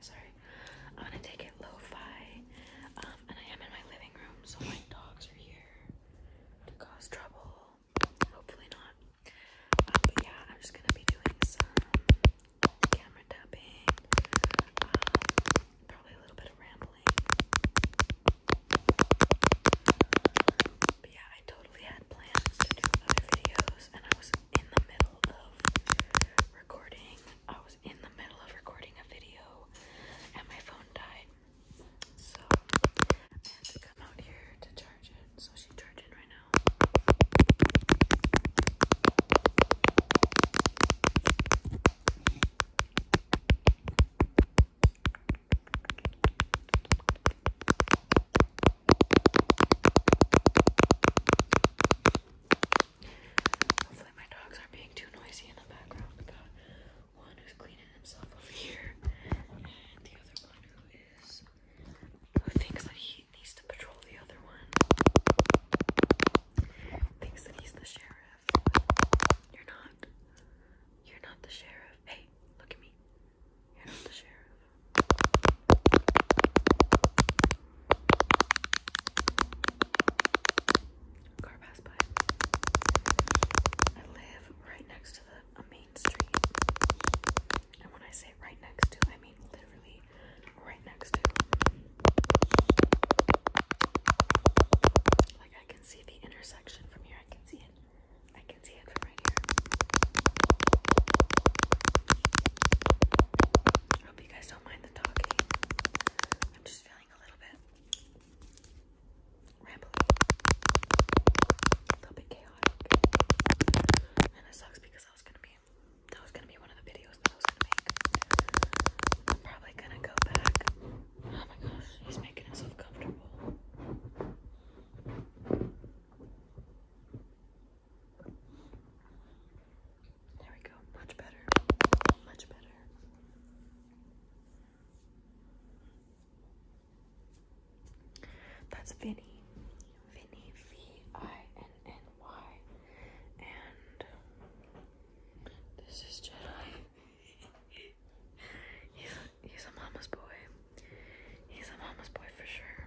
sorry. I'm gonna take it lo-fi. Um, and I am in my living room, so my dogs are here to cause trouble. Hopefully not. Uh, but yeah, I'm just gonna be doing some camera tapping. Um, probably a little bit of rambling. But yeah, I totally had plans to do other videos, and I was in the middle of recording. I was in the middle of recording a video and my phone died. So I had to come out here to charge it. So she's charging right now. Hopefully my dogs aren't being too noisy in the background. one who's cleaning himself over here, and the other one who is who thinks that he needs to patrol the other one. Thinks that he's the sheriff. You're not. You're not the sheriff. Hey, look at me. You're not the sheriff. Car passed by. I live right next to the main street. And when I say right next to, I mean literally right next to. Like I can see the intersection from here. I can see it. I can see it from right here. I hope you guys don't mind the talking. I'm just feeling a little bit rambly, a little bit chaotic, and it sucks because I was gonna be that was gonna be one of the videos that I was gonna make. I'm probably gonna go back. Oh my gosh, he's making himself comfortable. There we go. Much better. Much better. That's Vinny. Vinny, V-I-N-N-Y. And this is Jedi. he's, a, he's a mama's boy. He's a mama's boy for sure.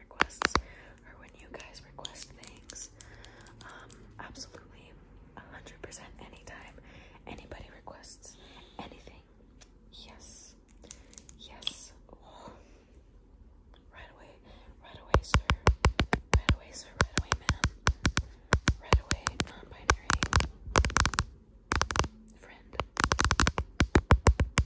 requests or when you guys request things. Um, absolutely, 100% anytime anybody requests anything. Yes, yes. Right away, right away, sir. Right away, sir. Right away, ma'am. Right away, non binary friend. Like you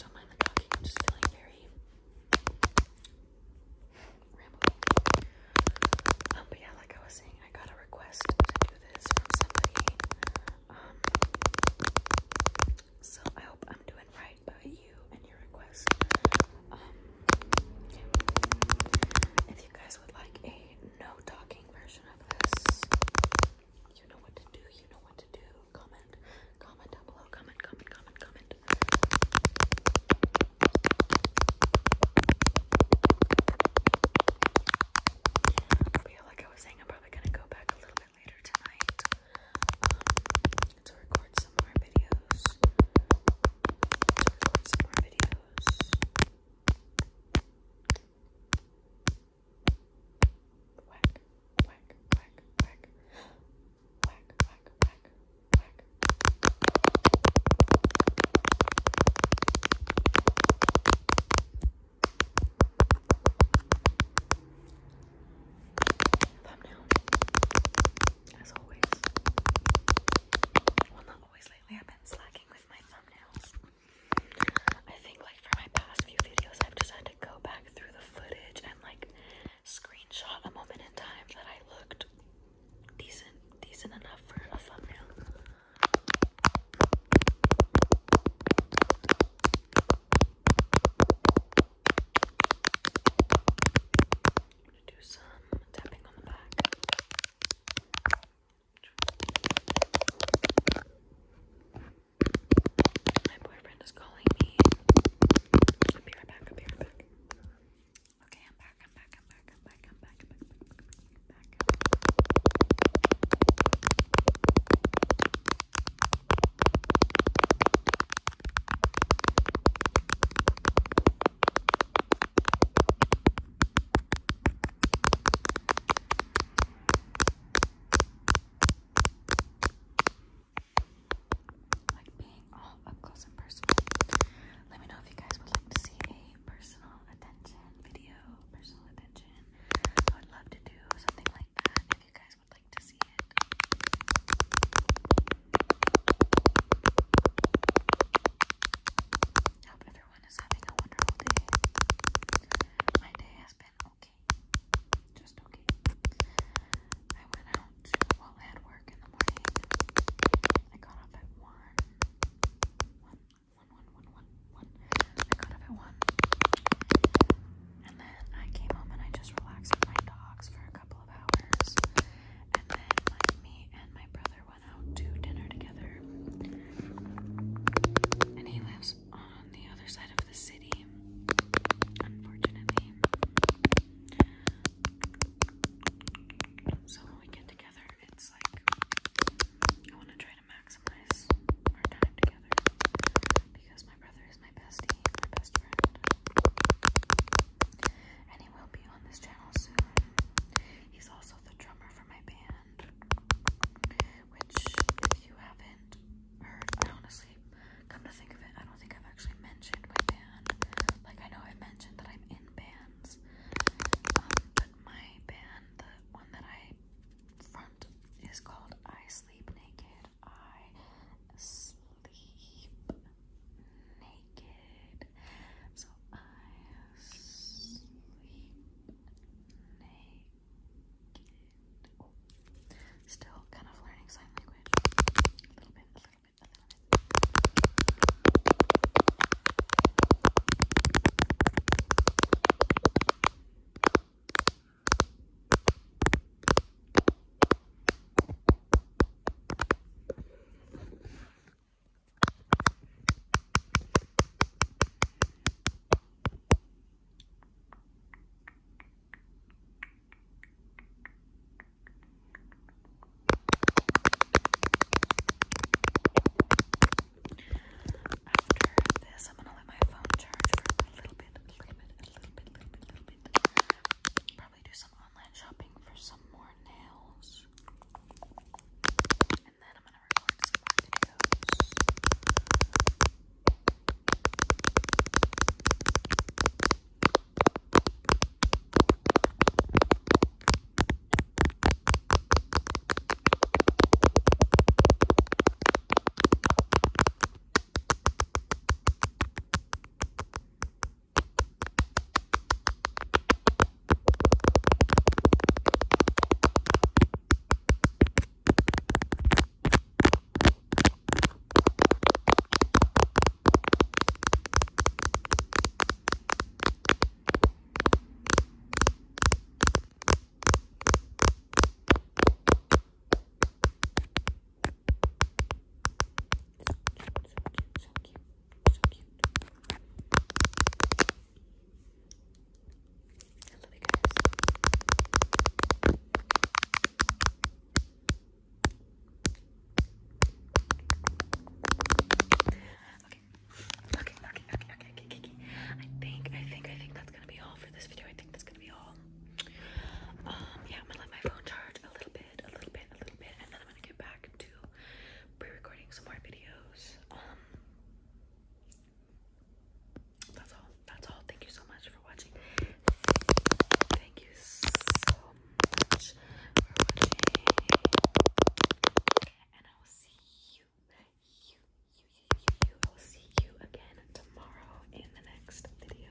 don't mind the talking. I'm just feeling very rambling. but yeah, like I was saying, I got a request to do this from somebody. so I hope I'm doing right by you and your request. If you guys like a no talking version of this, you know what to do, you know what to do. Comment, comment down below, comment, comment, comment, comment. yeah, like I was saying, I'm probably gonna go back a little bit later tonight um, to record some more videos. some more videos. Whack, whack, whack, whack. Whack, whack, whack, whack. Thumbnail. As always. Well, not always lately, I've been slacking my thumbnails. I think like for my past few videos, I've decided to go back through the footage and like screenshot a moment in time that I looked decent, decent enough for a thumbnail. I'm gonna do some tapping on the back. My boyfriend is calling me. be right back. be right back. Okay, I'm back. I'm back. I'm back. I'm back. I'm back. I'm back. Like being all up close and personal. Let me know if you guys would like to see a personal attention video, personal attention. I would love to do something like that if you guys would like to see it everyone is having a wonderful day. My day has been okay. Just okay. I went out while I had work in the morning. I got off at one. One, one, one, one, one, one. I got off at one. And then I came home and I just relaxed with my dogs for a couple of hours. And then me and my brother went out dinner together. And he lives on the other side of the city, unfortunately. So when we get together, it's like I want to try to maximize our time together because my brother is my bestie, my best friend. And he will be on this channel soon. He's also the drummer for my band, which, if you haven't heard, I honestly, come to think of it, I don't think I've actually mentioned my band. Like, I know I've mentioned that I'm in bands, um, but my band, the one that I front, is called I Sleep Naked. I sleep naked. So I sleep naked. Still kind of learning sign language. A little bit, a little bit, a little bit. After this, I'm gonna let my phone charge for a little bit, a little bit, a little bit, a little bit, a little bit. Probably do some online shopping for some more more nails. And then I'm gonna record some videos so cute, so cute. So you okay, okay, okay, okay, okay, okay. I think, I think, I think that's gonna be all for this video. I think that's gonna be all. Um, yeah, I'm gonna let my phone charge a little bit, a little bit, a little bit, and then I'm gonna get back to pre-recording some more videos. Um, that's all. That's all. Thank you so much for watching. Thank you so much for watching. And I will see you, you, you, you, you, you. I will see you again tomorrow in the next video.